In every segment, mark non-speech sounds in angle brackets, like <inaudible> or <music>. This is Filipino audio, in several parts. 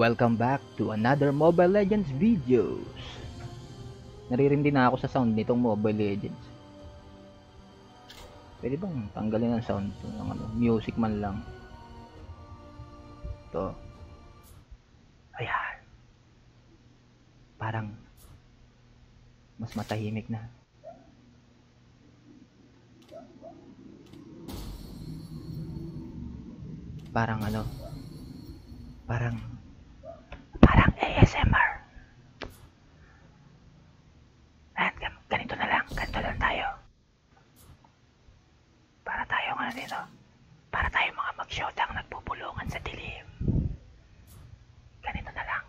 Welcome back to another Mobile Legends videos. Naririndi na ako sa sound nitong Mobile Legends. Pwede bang tanggalin ang sound ng ano, music man lang. To. Ayan. Parang mas matahimik na. Parang ano? Parang parang ASMR. At ganito na lang, ganito lang tayo. Para tayo nga dito. Para tayo mga mag-showdown nagpupulungan sa dilim. Ganito na lang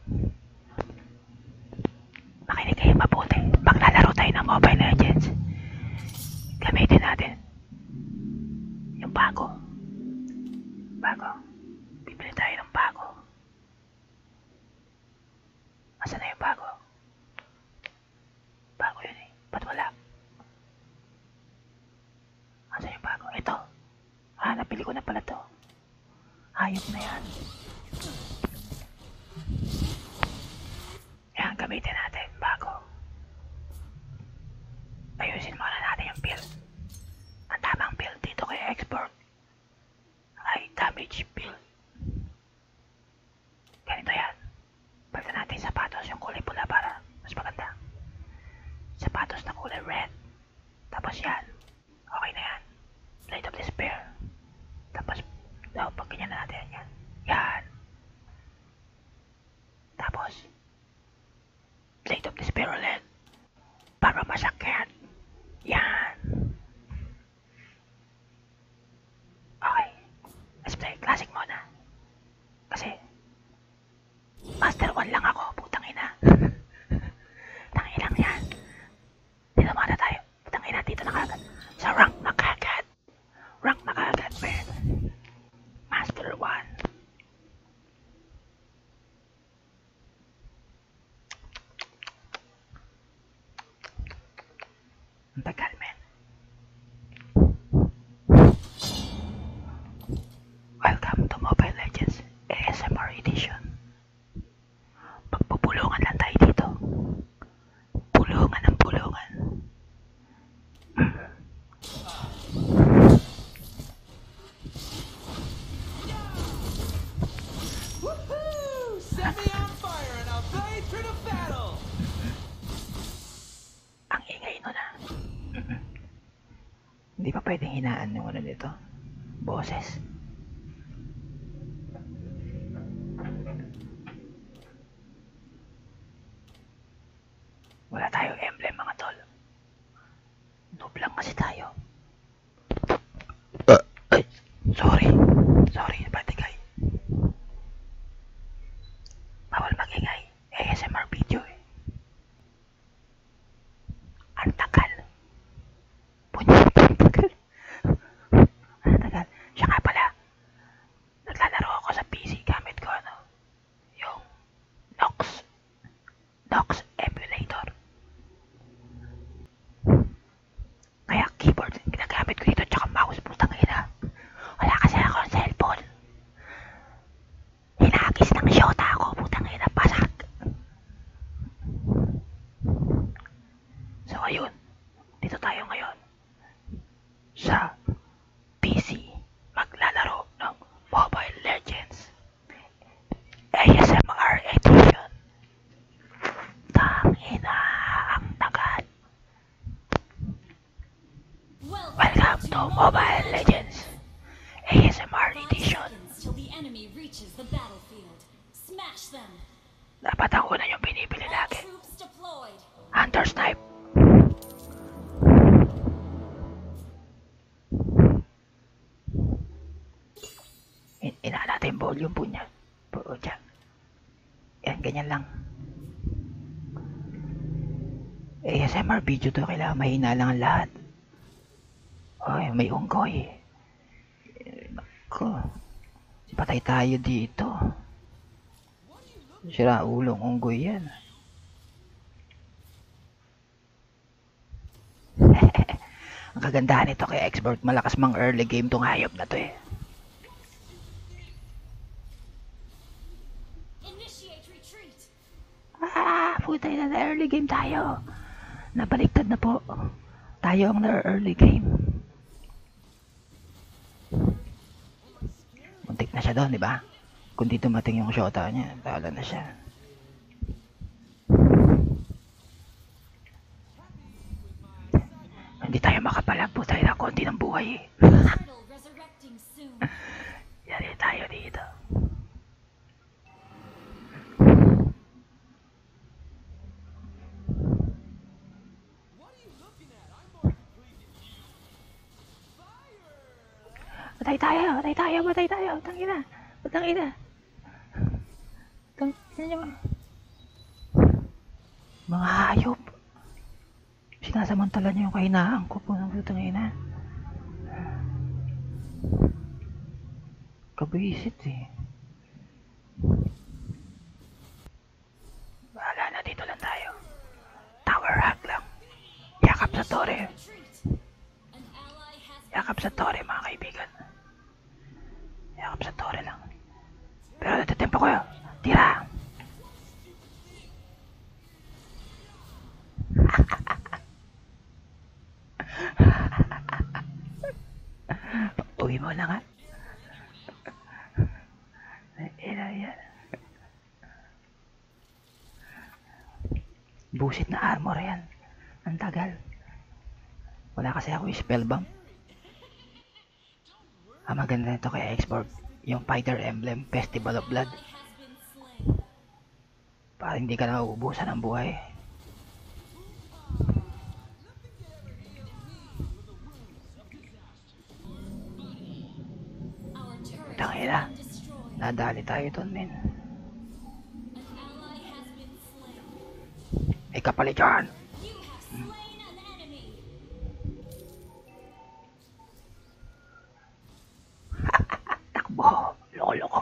makinig kayo mabuti. Maglalaro tayo ng Mobile Legends. Gamitin natin. Yung bago. Bago. Bibili tayo ng bago. Asan na yung bago? Bago yun eh. Ba't wala? Asan yung bago? Ito. Ah, napili ko na pala to. Hayop na yan. Yan, gamitin natin bago ayusin muna natin yung build. Ang tamang build dito kay export ay damage build. Ganito yan. Palitan natin yung sapatos yung kulay pula para mas maganda. Sapatos na kulay red. Tapos yan. Okay na yan. Light of Despair. Tapos, daw, pag ganyan natin, yan. Yan. Tapos, Light of Despair ulit. Para masakyan. Yan. Okay. Let's play classic muna. Kasi, Master 1 lang ako, putang ina. <laughs> Tangilang yan. Dito muna tayo. Putang ina, dito na kagad. Sa rank na kagad. Rank na kagad, man. Master 1. Ang tagal, men. Welcome to Mobile Legends ASMR Edition. Pagpupulungan lang tayo dito. Pulungan ng pulungan. Set me on fire and I'll blade through the battle! Ang ingay nun ah. Hindi pa pwedeng hinaan yung ano nito boses. Wala tayong emblem mga tol. Noob lang kasi tayo. Uh, ay, sorry. Sorry, patigay. Bawal magingay. ASMR video eh. Ang tagal. Punya, ang tagal. Ano tagal? Siya nga pala. Naglalaro ako sa PC gamit ko ano. Yung Nox. Nox emulator. Kaya keyboard ginagamit ko dito tsaka mouse putang ina. Wala kasi ako ng cellphone. Hinagis ng shota ako putang ina pasag. So ayun, dito tayo ngayon sa PC maglalaro ng Mobile Legends ASMR Edition. Tangina ang tagal. Welcome to Mobile Legends ASMR Edition. Till the enemy reaches the battlefield. Dapat ako na yung binibili lagi. Hunter Snipe. In ina natin volume po niya. Buo niya. Yan, ganyan lang. ASMR video to, kailangan mahina lang ang lahat. Oy, may unggoy. Nako. Patay tayo dito. Sira ulong unggoy yan. <laughs> Ang kagandahan nito kay Expert, malakas mang early game tong hayop na to eh. Initiate retreat. Ah, putay na na-early game tayo. Nabaliktad na po. Tayo ang na-early game. Muntik na siya doon, di ba? Kung dito mating yung shota niya, tala na siya. Hindi tayo makapalag po tayo na konti ng buhay. <laughs> Yari tayo dito. Patay tayo, patay tayo, patay tayo. Tang ina. Tang ina. Tang ina. Mga hayop. Sinasamantala niyo yung kahinaan ko po ng putang ina. Kabisit eh. Wala na, dito lang tayo. Tower hack lang. Yakap sa tore. Yakap sa tore mga kaibigan. Yakap sa tore lang. Pero natatempo ko yun. Tira! <laughs> Uwi mo na nga. Ina yan. Busit na armor yan. Ang tagal. Wala kasi ako spellbomb. Ang ah, maganda nito kay Xbox, yung Fighter Emblem Festival of Blood para hindi ka na mauubusan ng buhay Tangina, nadali tayo doon men ay kapalit yan hmm. Takbo. Loko-loko.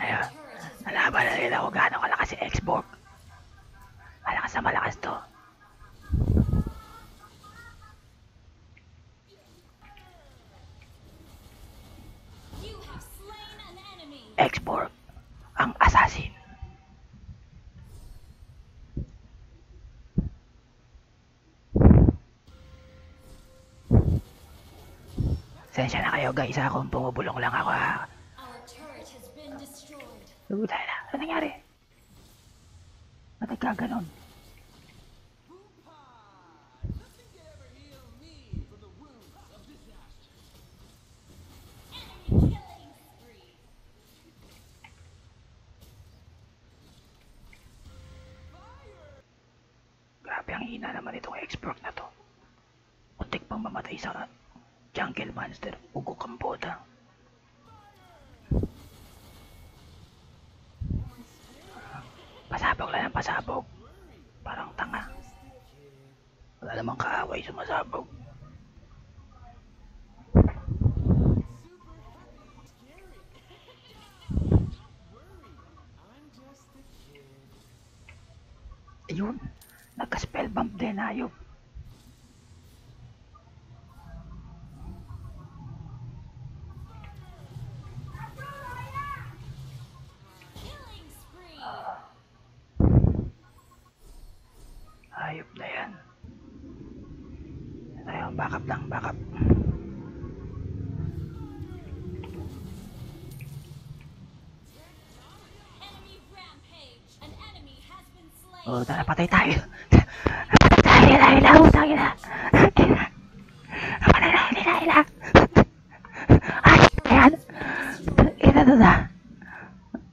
Ayun. Nalaban na nila kung gaano kalakas si Xbox. Malakas na malakas to. Xbox, ang assassin. Sensya na kayo guys ha kung bumubulong lang ako ha. Lugutay na. Ano nangyari? Ba't nagkaganon? Grabe ang hina naman itong expert na to. Untik pang mamatay sa jungle monster ugo kambota. Pasabog lang ang pasabog. Parang tanga. Wala namang kaaway sumasabog. Ayun, nagka-spellbomb din ayop. Ayop na yan. Tayo, oh, backup lang, backup. Oh, tara, patay tayo. Patay tayo, ila, ila, utang, ila. Patay tayo, ila, ila. Ay, ayan. Ila, ila.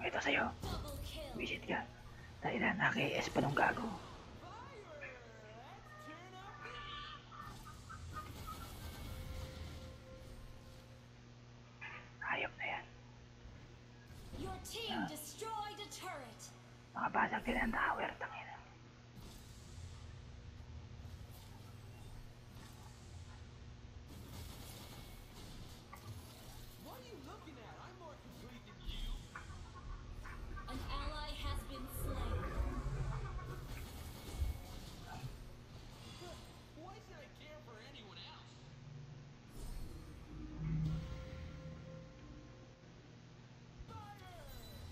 Ito sa'yo. Visit ka. Dahil na naki-ES pa nung gago. Hayop na yan. Your team ah. destroyed a turret. Makabasag din ang tower. Tangin. What are you looking at? I'm more complete than you. An ally has been slain. Why should I care for anyone else? Fire!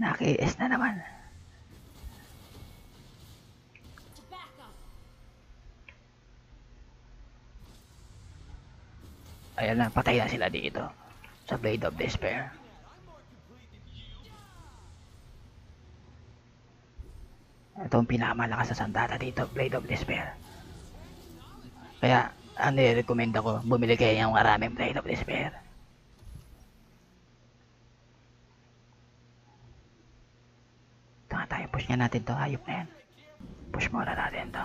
Nakiis na naman. Ayan na, patay na sila dito. Sa Blade of Despair. Ito ang pinakamalakas sa sandata dito, Blade of Despair. Kaya, ano recommend ako, bumili kayo ng maraming Pride of Despair. Ito nga tayo, push nga natin to, hayop na yan. Push muna natin to.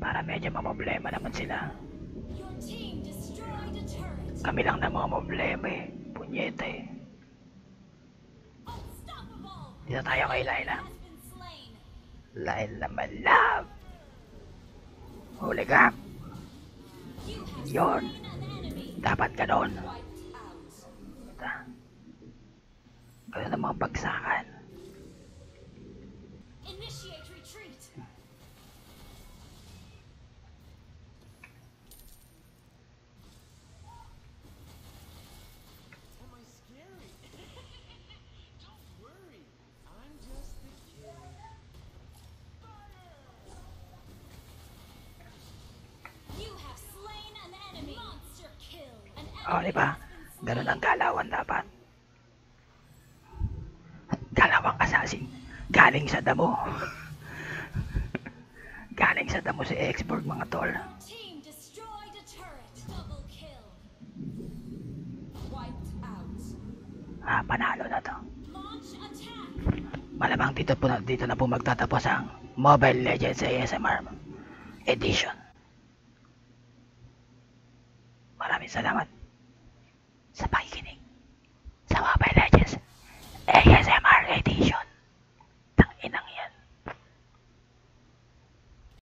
Para medyo mamoblema naman sila. Kami lang na mga problema eh. Punyete eh. Dito tayo kay Laila. Lain naman love. Huli ka. Yun. Dapat ka doon. Ganun ang mga pagsakan. <laughs> Don't worry. I'm just the kid. You have slain an enemy. Monster kill. An oh, enemy oh, di ba? Ganun ang galawan dapat. Galawang assassin. Galing sa damo. <laughs> Galing sa damo si Exborg mga tol. Team destroyed a turret. Double kill. Ah, panalo na to. Malamang dito po na, dito na po magtatapos ang Mobile Legends ASMR Edition. Maraming salamat sa pakikinig sa Mobile Legends ASMR Edition.